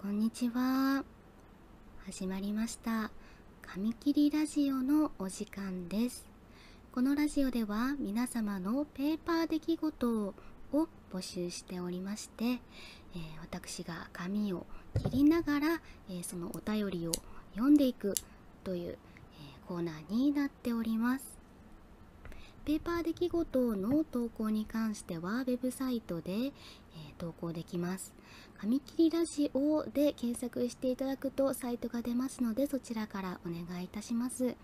こんにちは。始まりました。紙切りラジオのお時間です。このラジオでは皆様のペーパー出来事を募集しておりまして、え私が紙を切りながら、えそのお便りを読んでいくという、えコーナーになっております。ペーパー出来事の投稿に関してはウェブサイトで、え投稿できます。紙切りラジオで検索していただくとサイトが出ますのでそちらからお願いいたします。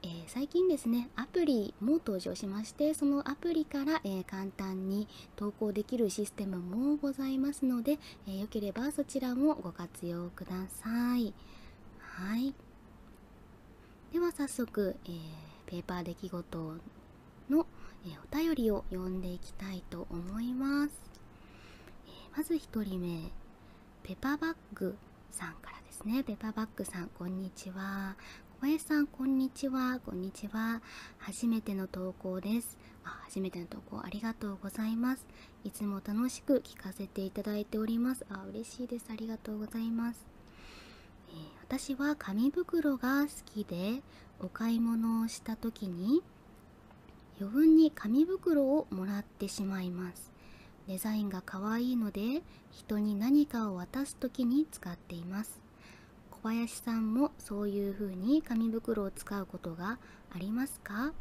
え最近ですねアプリも登場しましてそのアプリから、え簡単に投稿できるシステムもございますので、えー、よければそちらもご活用ください。はいでは早速、えペーパー出来事の、えお便りを読んでいきたいと思います、えまず1人目ペパバッグさんからですねペパバッグさんこんにちは小林さんこんにちはこんにちは初めての投稿ですあ初めての投稿ありがとうございますいつも楽しく聞かせていただいておりますあ嬉しいですありがとうございますえ私は紙袋が好きでお買い物をした時に余分に紙袋をもらってしまいますデザインが可愛いので人に何かを渡す時に使っています小林さんもそういう風に紙袋を使うことがありますか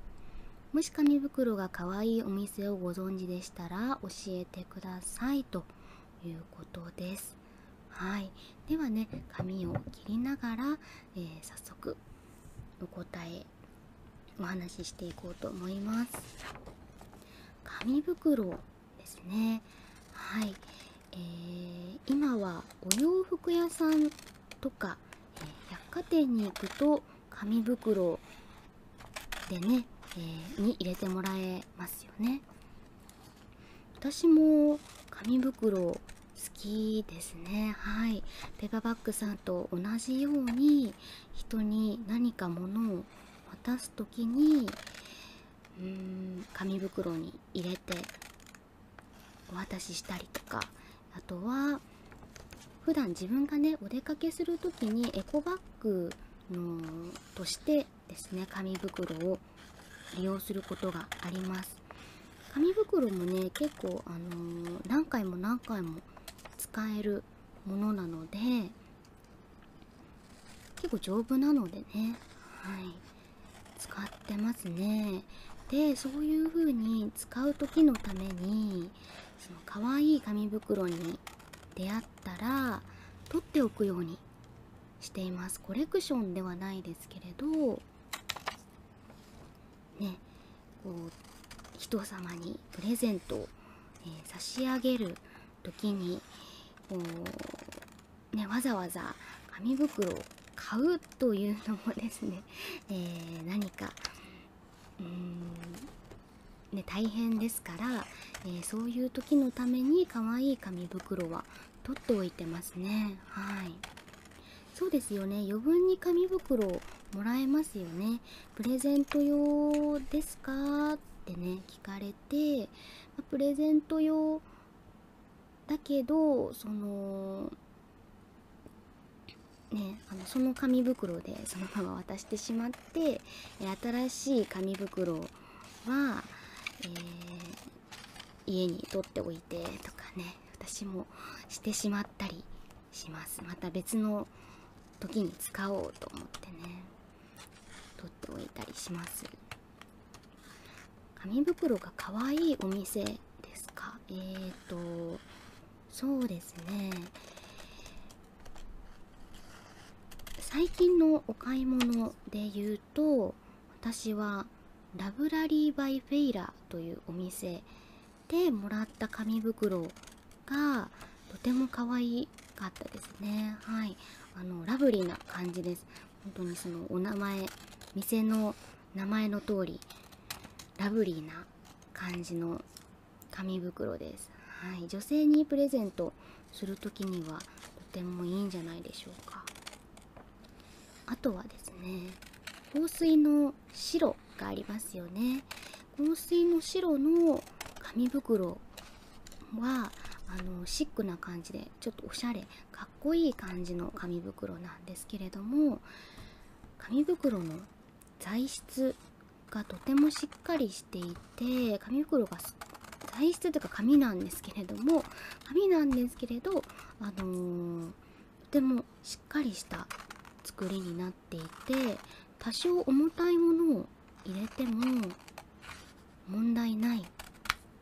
もし紙袋が可愛いお店をご存知でしたら教えてくださいということです。はい、ではね紙を切りながら、え早速お答えお話ししていこうと思います。紙袋ですね。はい、えー、今はお洋服屋さんとか、え百貨店に行くと紙袋でね、えに入れてもらえますよね私も紙袋好きですねはいペガバッグさんと同じように人に何か物を渡す時にうーん紙袋に入れてお渡ししたりとかあとは普段自分がねお出かけする時にエコバッグのとしてですね紙袋を利用することがあります紙袋もね結構、あの何回も何回も使えるものなので結構丈夫なのでね、はい、使ってますねでそういう風に使う時のためにその可愛い紙袋に出会ったら取っておくようにしていますコレクションではないですけれどねこう人様にプレゼントを、え差し上げる時にこう、ね、わざわざ紙袋を買うというのもですね、え何かうんね、大変ですから、えそういう時のためにかわいい紙袋は取っておいてますねはいそうですよね余分に紙袋もらえますよねプレゼント用ですかってね聞かれて、まプレゼント用だけどそのね、その紙袋でそのまま渡してしまっって新しい紙袋は、え家に取っておいてとかね私もしてしまったりしますまた別の時に使おうと思ってね取っておいたりします紙袋が可愛いお店ですかえーとそうですね最近のお買い物で言うと私はラブラリー・バイ・フェイラーというお店でもらった紙袋がとても可愛かったですねはいあのラブリーな感じです本当にそのお名前店の名前の通りラブリーな感じの紙袋です、はい、女性にプレゼントする時にはとてもいいんじゃないでしょうかあとはですね香水の白がありますよね香水の白の紙袋はあのシックな感じでちょっとおしゃれかっこいい感じの紙袋なんですけれども紙袋の材質がとてもしっかりしていて紙袋が材質というか紙なんですけれども紙なんですけれど、あのとてもしっかりした作りになっていて多少重たいものを入れても問題ない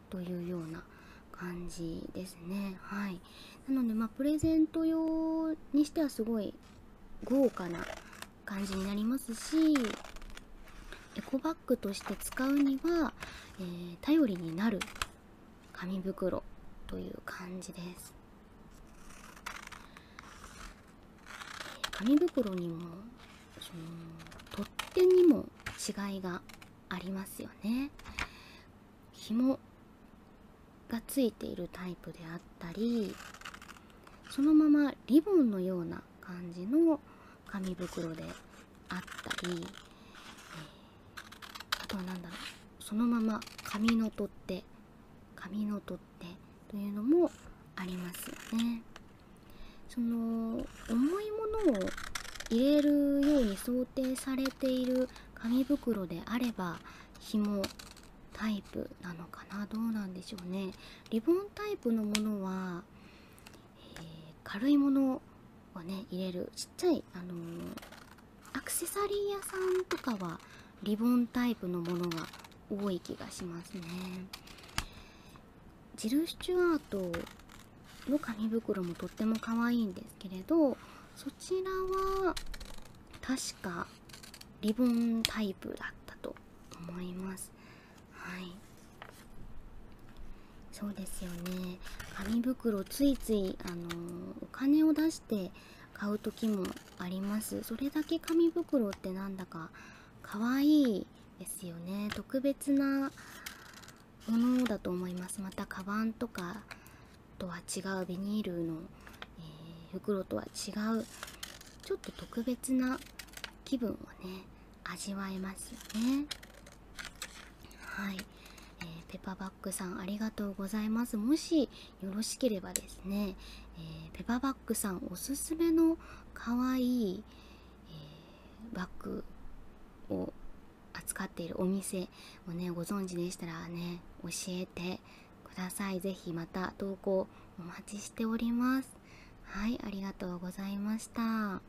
というような感じですねはいなのでまプレゼント用にしてはすごい豪華な感じになりますしエコバッグとして使うには、え頼りになる紙袋という感じです紙袋にもその取っ手にも違いがありますよね紐がついているタイプであったりそのままリボンのような感じの紙袋であったり、あとは何だろうそのまま紙の取っ手紙の取っ手というのもありますよね。その重いものを入れるように想定されている紙袋であれば紐タイプなのかなどうなんでしょうねリボンタイプのものは、え軽いものをね入れるちっちゃい、あのアクセサリー屋さんとかはリボンタイプのものが多い気がしますねジル・スチュアートの紙袋もとっても可愛いんですけれどそちらは確かリボンタイプだったと思いますはいそうですよね紙袋ついついあのお金を出して買う時もありますそれだけ紙袋ってなんだか可愛いですよね特別なものだと思いますまたカバンとかとは違うビニールのえ袋とは違うちょっと特別な気分をね味わえますよねはい、えペパバックさんありがとうございますもしよろしければですね、えペパバックさんおすすめのかわいい、えバッグを扱っているお店をねご存知でしたらね教えてくださいぜひまた投稿お待ちしておりますはいありがとうございました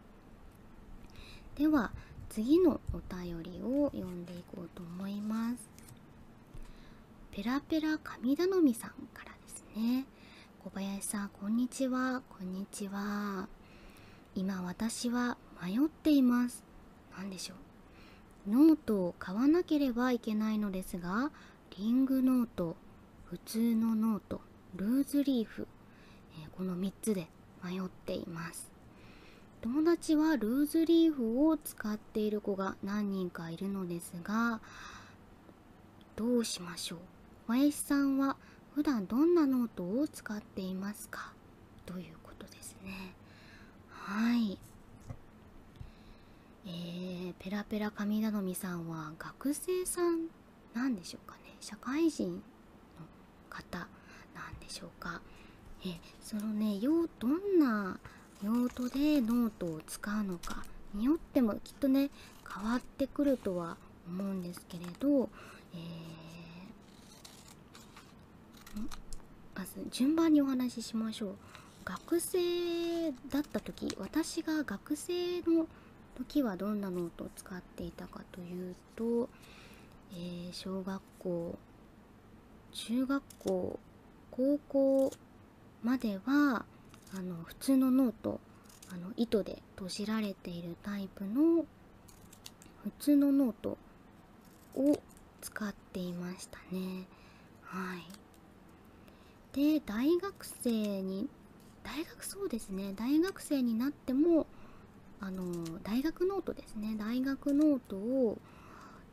では次のお便りを読んでいこうと思いますペラペラ神頼みさんからですね小林さんこんにちはこんにちは今私は迷っています何でしょうノートを買わなければいけないのですがリングノート普通のノートルーズリーフ、えこの3つで迷っています友達はルーズリーフを使っている子が何人かいるのですがどうしましょう林さんは普段どんなノートを使っていますかということですねはいえペラペラ神頼みさんは学生さんなんでしょうかね社会人の方なんでしょうかえそのね用どんな用途でノートを使うのかによってもきっとね変わってくるとは思うんですけれど、えまず順番にお話ししましょう学生だった時私が学生の時はどんなノートを使っていたかというと、え小学校中学校高校まではあの普通のノートあの糸で閉じられているタイプの普通のノートを使っていましたねはいで大学生に大学そうですね大学生になってもあの大学ノートですね大学ノートを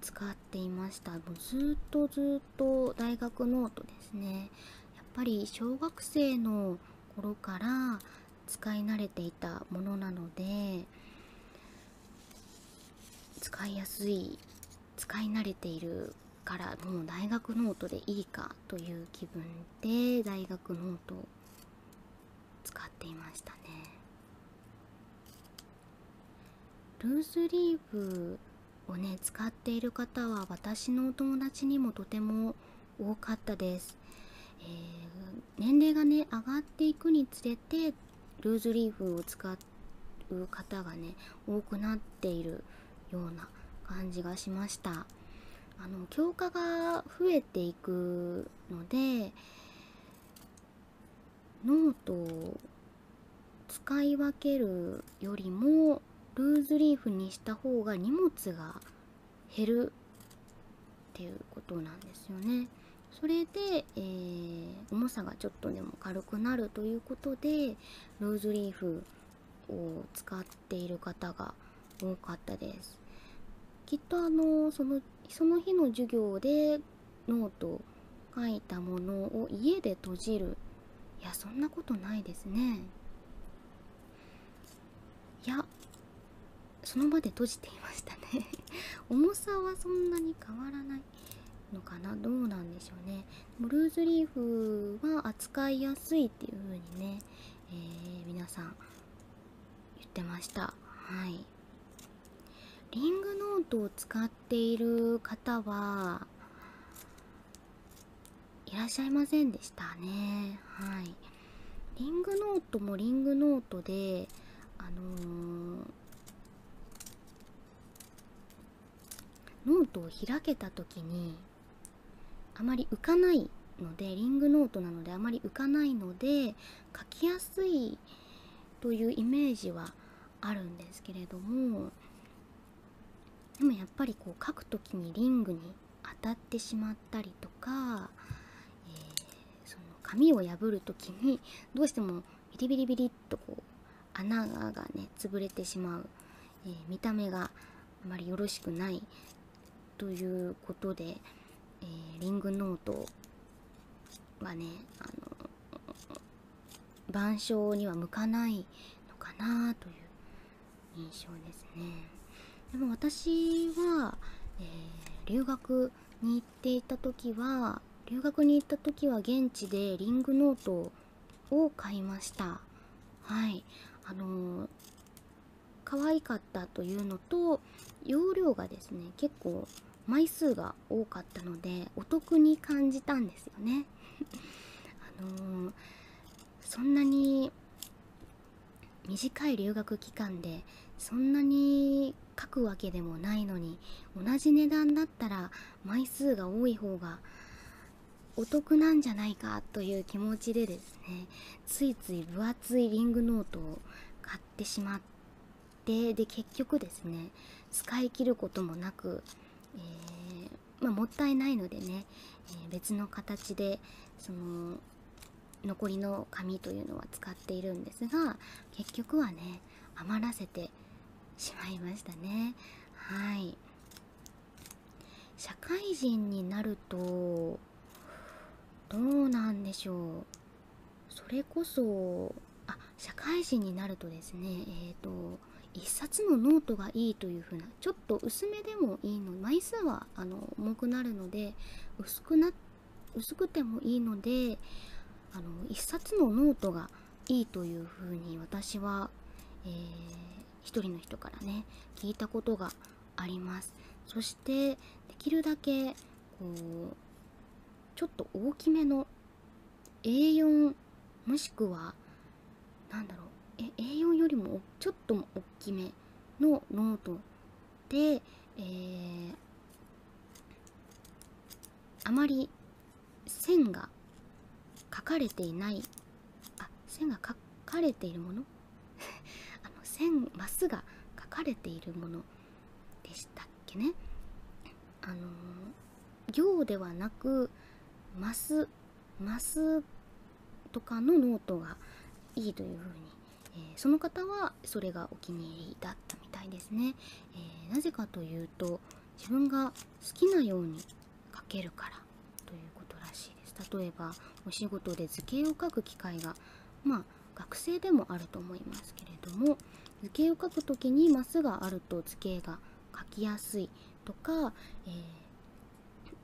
使っていましたもうずっとずっと大学ノートですねやっぱり小学生の頃から使い慣れていたものなので使いやすい使い慣れているからもう大学ノートでいいかという気分で大学ノートを使っていましたねルースリーブをね使っている方は私のお友達にもとても多かったです、え年齢がね上がっていくにつれてルーズリーフをう方がね多くなっているような感じがしましたあの強化が増えていくのでノートを使い分けるよりもルーズリーフにした方が荷物が減るっていうことなんですよね。それで、え重さがちょっとでも軽くなるということでローズリーフを使っている方が多かったですきっとあのそのその日の授業でノート書いたものを家で閉じるいやそんなことないですねいやその場で閉じていましたね重さはそんなに変わらないのかなどうなんでしょうねブルーズリーフは扱いやすいっていう風にね、え皆さん言ってましたはいリングノートを使っている方はいらっしゃいませんでしたねはいリングノートもリングノートであのノートを開けた時にあまり浮かないのでリングノートなのであまり浮かないので書きやすいというイメージはあるんですけれどもでもやっぱりこう書く時にリングに当たってしまったりとか、えその紙を破る時にどうしてもビリビリビリっとこう穴がね潰れてしまう、え見た目があまりよろしくないということで、えリングノートはねあの板書には向かないのかなという印象ですねでも私は、え留学に行っていた時は留学に行った時は現地でリングノートをを買いましたはいあのー、可愛かったというのと容量がですね結構枚数が多かったのでお得に感じたんですよね あのそんなに短い留学期間でそんなに書くわけでもないのに同じ値段たら枚数が多い方がお得なんじゃないかという気持ちでですねついつい分厚いリングノートを買ってしまってで結局ですね使い切ることもなく、えまもったいないのでね、え別の形でその残りの紙というのは使っているんですが結局はね余らせてしまいましたねはい社会人になるとどうなんでしょうそれこそあ社会人になるとですねえっ、と1冊のノートがいいというふうなちょっと薄めでもいいの枚数はあの重くなるので薄くな薄くてもいいのであの1冊のノートがいいというふに私は、えー、一人の人からね聞いたことがありますそしてできるだけこうちょっと大きめの A4 もしくは何だろうえ A4 よりもちょっと大きめのノートで、えあまり線が書かれていないあ線が書かれているもの あの線マスが書かれているものでしたっけねあの行ではなくマスマスとかのノートがいいというふうに、えその方はそれがお気に入りだったみたいですね、えなぜかというと自分が好きなように描けるからということらしいです例えばお仕事で図形を書く機会がま学生でもあると思いますけれども図形を書く時にマスがあると図形が書きやすいとか、え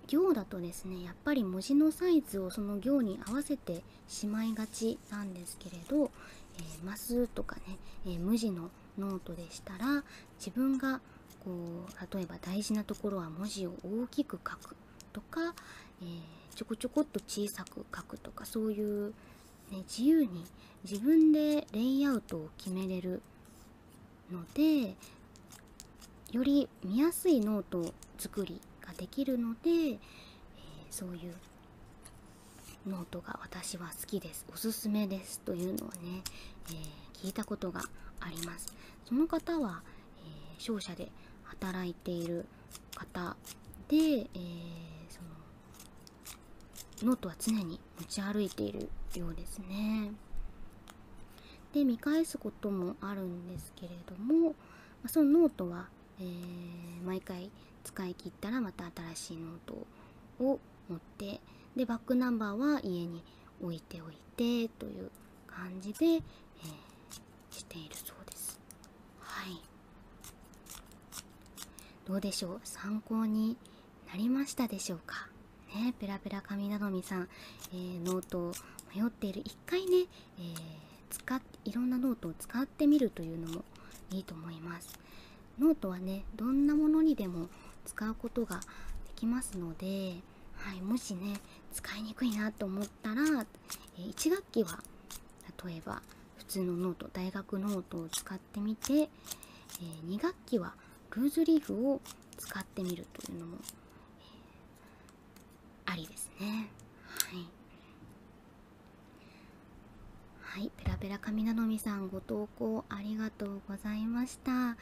行だとですねやっぱり文字のサイズをその行に合わせてしまいがちなんですけれど、えー、マスとかね、え無地のノートでしたら自分がこう例えば大事なところは文字を大きく書くとか、えちょこちょこっと小さく書くとかそういう、ね、自由に自分でレイアウトを決めれるのでより見やすいノート作りができるので、えそういうノートが私は好きですおすすめですというのはね、え聞いたことがありますその方は、え商社で働いている方で、えそのノートは常に持ち歩いているようですねで見返すこともあるんですけれどもそのノートは、え毎回使い切ったらまた新しいノートを持ってでバックナンバーは家に置いておいてという感じで、えしているそうですはいどうでしょう参考になりましたでしょうかねペラペラ神頼みさん、えノートを迷っている一回ね、え使っいろんなノートを使ってみるというのもいいと思いますノートはねどんなものにでも使うことができますので、はい、もしね使いにくいなと思ったら、え1学期は例えば普通のノート大学ノートを使ってみて、え2学期はルーズリーフを使ってみるというのも、えありですね。はいはいペラペラ神頼みさんご投稿ありがとうございましたは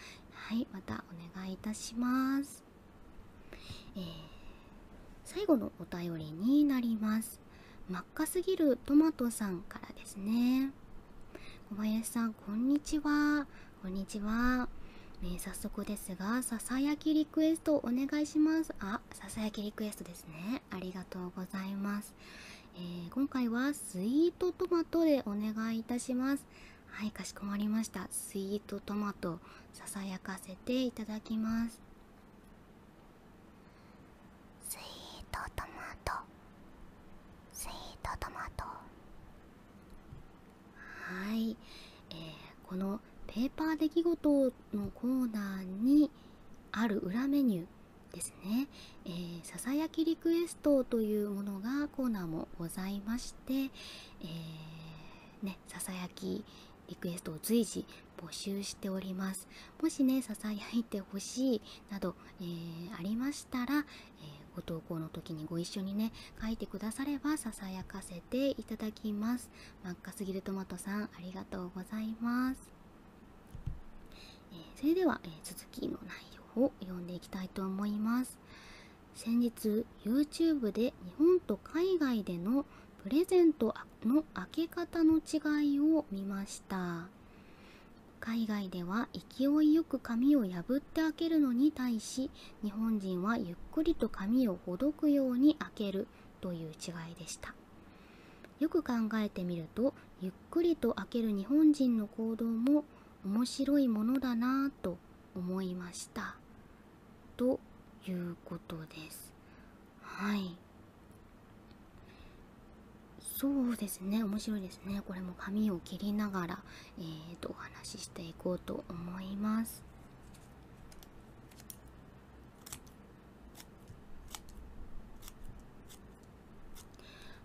いまたお願いいたしますえ最後のお便りになります真っ赤すぎるトマトさんからですね小林さんこんにちはこんにちは、え早速ですがささやきリクエストお願いしますあささやきリクエストですねありがとうございますえ今回はスイートトマトでお願いいたしますはいかしこまりましたスイートトマトささやかせていただきますスイートトマトスイートトマトはい、えー、このペーパー出来事のコーナーにある裏メニューですね、えー、ささやきリクエストというものがコーナーもございまして、えね、ささやきリクエストを随時募集しております。もしね、ささやいてほしいなど、えありましたら、えご投稿の時にご一緒にね、書いてくださればささやかせていただきます。真っ赤すぎるトマトさん、ありがとうございます。えそれでは、え続きの内容を読んでいきたいと思います先日 YouTube で日本と海外でのプレゼントの開け方の違いを見ました海外では勢いよく髪を破って開けるのに対し日本人はゆっくりと髪をほどくように開けるという違いでしたよく考えてみるとゆっくりと開ける日本人の行動も面白いものだなぁと思いましたということですはいそうですね面白いですねこれも髪を切りながら、えーとお話ししていこうと思います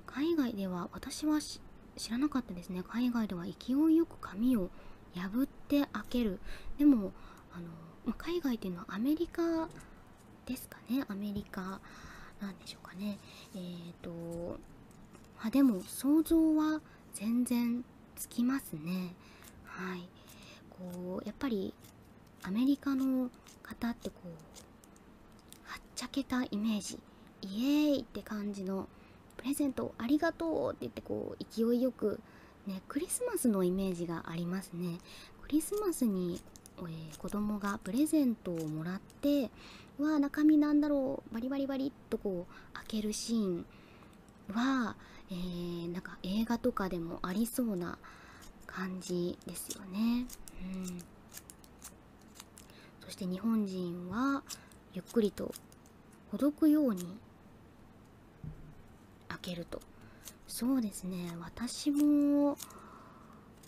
海外では私は知らなかったですね海外では勢いよく紙を破って開けるでもあの、ま海外っていうのはアメリカですかねアメリカなんでしょうかねえっ、とまでも想像は全然つきますねはいこうやっぱりアメリカの方ってこうはっちゃけたイメージイエーイって感じのプレゼントありがとうって言ってこう勢いよくねクリスマスのイメージがありますねクリスマスに、えー、子供がプレゼントをもらっては中身なんだろうバリバリバリっとこう開けるシーンは、えなんか映画とかでもありそうな感じですよね。うん、そして日本人はゆっくりとほくように開けるとそうですね私も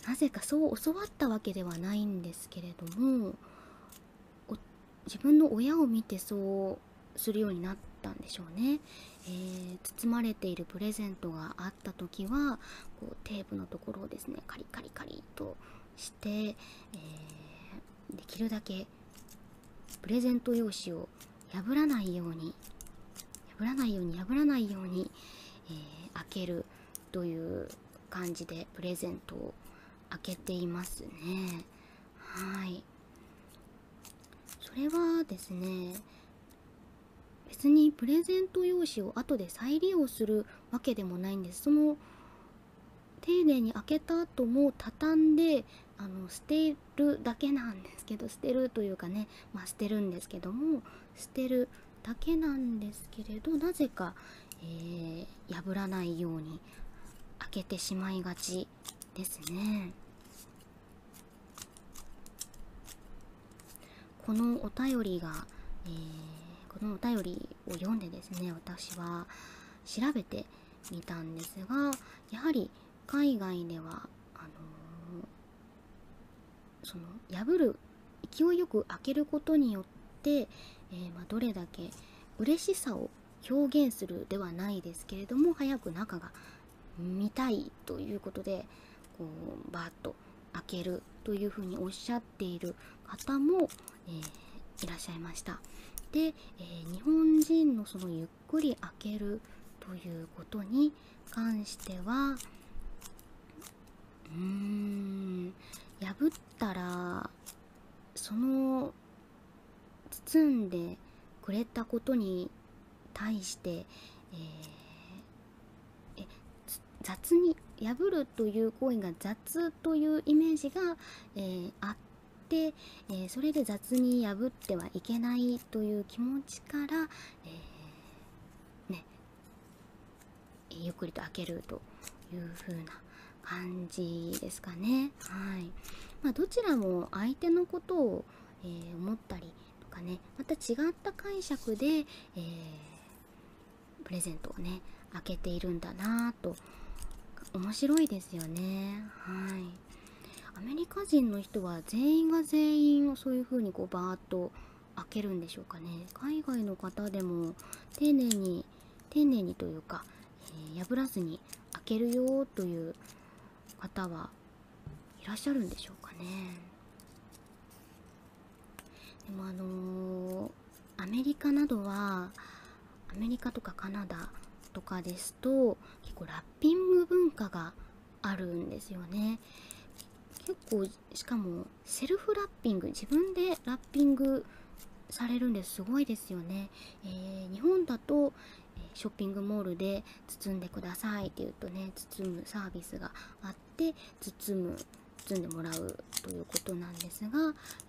なぜかそう教わったわけではないんですけれども自分の親を見てそうするようになったんでしょうね、え包まれているプレゼントがた時はこうテープのところをですねカリカリカリとして、えー、できるだけプレゼント用紙を破らないように破らないように破らないように、え開けるという感じでプレゼントを開けていますねはいそれはですね別にプレゼント用紙を後で再利用するわけでもないんですその丁寧に開けた後も畳んであの捨てるだけなんですけど捨てるというかね、まあ、捨てるんですけども捨てるだけなんですけれどなぜか、え破らないように開けてしまいがちですね。このお便りが、えこのお便りを読んでですね私は調べてみたんですがやはり海外ではあのその破る勢いよく開けることによって、えまどれだけ嬉しさを表現するではないですけれども早く中が見たいということでこうバーッと開けるというふうにおっしゃっている方も、えいらっしゃいました。で、え日本人のそのゆっくり開けるということに関してはうーん破ったらその包んでくれたことに対して、え雑に破るという行為が雑というイメージが、えあって、えそれで雑に破ってはいけないという気持ちから、えね、ゆっくりと開けるというふうな感じですかね。はいまどちらも相手のことを、え思ったりとかねまた違った解釈で、えプレゼントをね開けているんだなぁと面白いですよねはいアメリカ人の人は全員が全員をそういう風にこうバーッと開けるんでしょうかね海外の方でも丁寧に丁寧にというか、え破らずに開けるよという方はいらっしゃるんでしょうかねでもあのアメリカなどはアメリカとかカナダとかですと結構ラッピング文化があるんですよね結構しかもセルフラッピング自分でラッピングされるんですごいですよね、え日本だと、ショッピングモールで包んでくださいって言うとね包むサービスがあって包む包んでもらうということなんですが、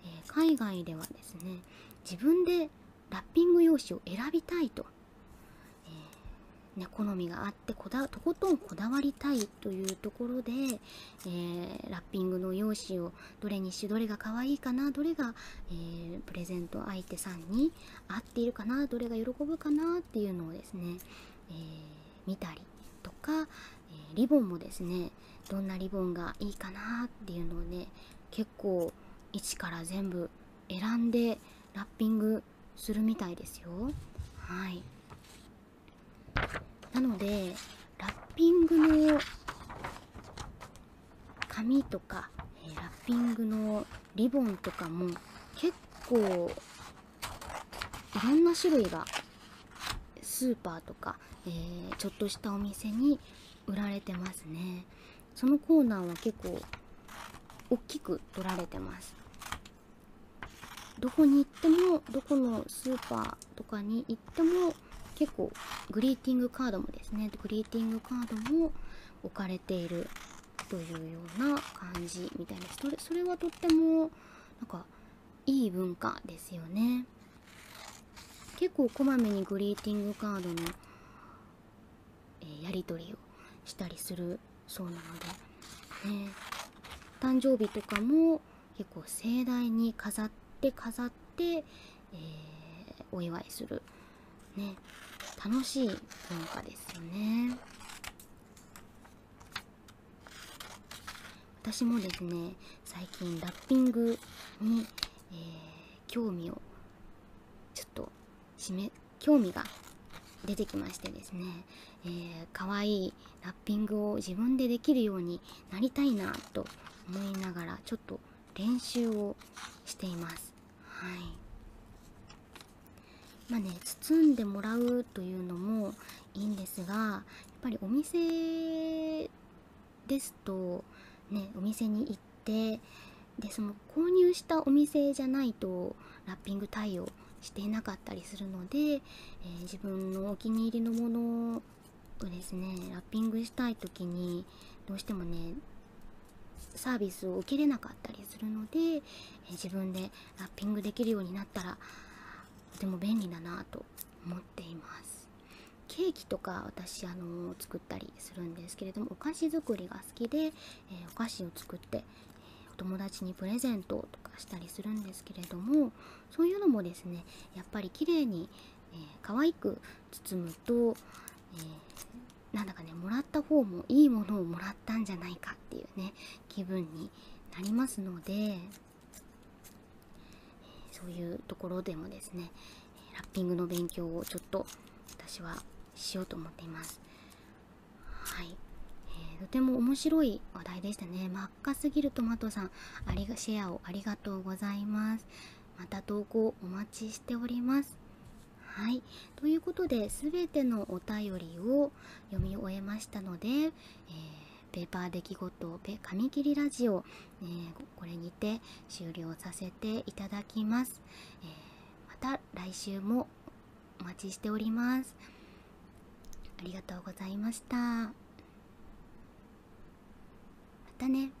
え海外ではですね自分でラッピング用紙を選びたいと、えね、好みがあってこだとことんこだわりたいというところで、えラッピングの用紙をどれにしどれが可愛いかなどれが、えプレゼント相手さんに合っているかなどれが喜ぶかなっていうのをですね、え見たりとか、えリボンもですねどんなリボンがいいかなっていうのをね結構一から全部選んでラッピングするみたいですよはいなのでラッピングの紙とか、えラッピングのリボンとかも結構いろんな種類がスーパーとか、えちょっとしたお店に売られてますねそのコーナーは結構大きく取られてますどこに行ってもどこのスーパーとかに行っても結構グリーティングカードもですねグリーティングカードも置かれているというような感じみたいなそれそれはとってもなんかいい文化ですよね結構こまめにグリーティングカードの、えやり取りをしたりするそうなので、ね、誕生日とかも結構盛大に飾って飾って、えお祝いするね楽しい農家ですよね私もですね最近ラッピングに、え興味をちょっとしめ興味が出てきましてですね、えー、かわいいラッピングを自分でできるようになりたいなと思いながらちょっと練習をしていますはいまあね包んでもらうというのもいいんですがやっぱりお店ですとねお店に行ってでその購入したお店じゃないとラッピング対応していなかったりするので、え自分のお気に入りのものをですねラッピングしたい時にどうしてもねサービスを受け入れなかったりするので自分でラッピングできるようになったらとても便利だなと思っていますケーキとか私あの作ったりするんですけれどもお菓子作りが好きで、えお菓子を作ってお友達にプレゼントとかしたりするんですけれどもそういうのもですねやっぱり綺麗に、えー、可愛く包むと、えー、なんだかねもらった方もいいものをもらったんじゃないかっていうね気分になりますので、えそういうところでもですねラッピングの勉強をちょっと私はしようと思っています。はい、えー、とても面白い話題でしたね。真っ赤すぎるトマトさんありが、シェアをありがとうございます。また投稿お待ちしております。はい。ということで、全てのお便りを読み終えましたので、えペーパー出来事、紙切りラジオ、えー、これにて終了させていただきます。えまた来週もお待ちしております。ありがとうございました。またね。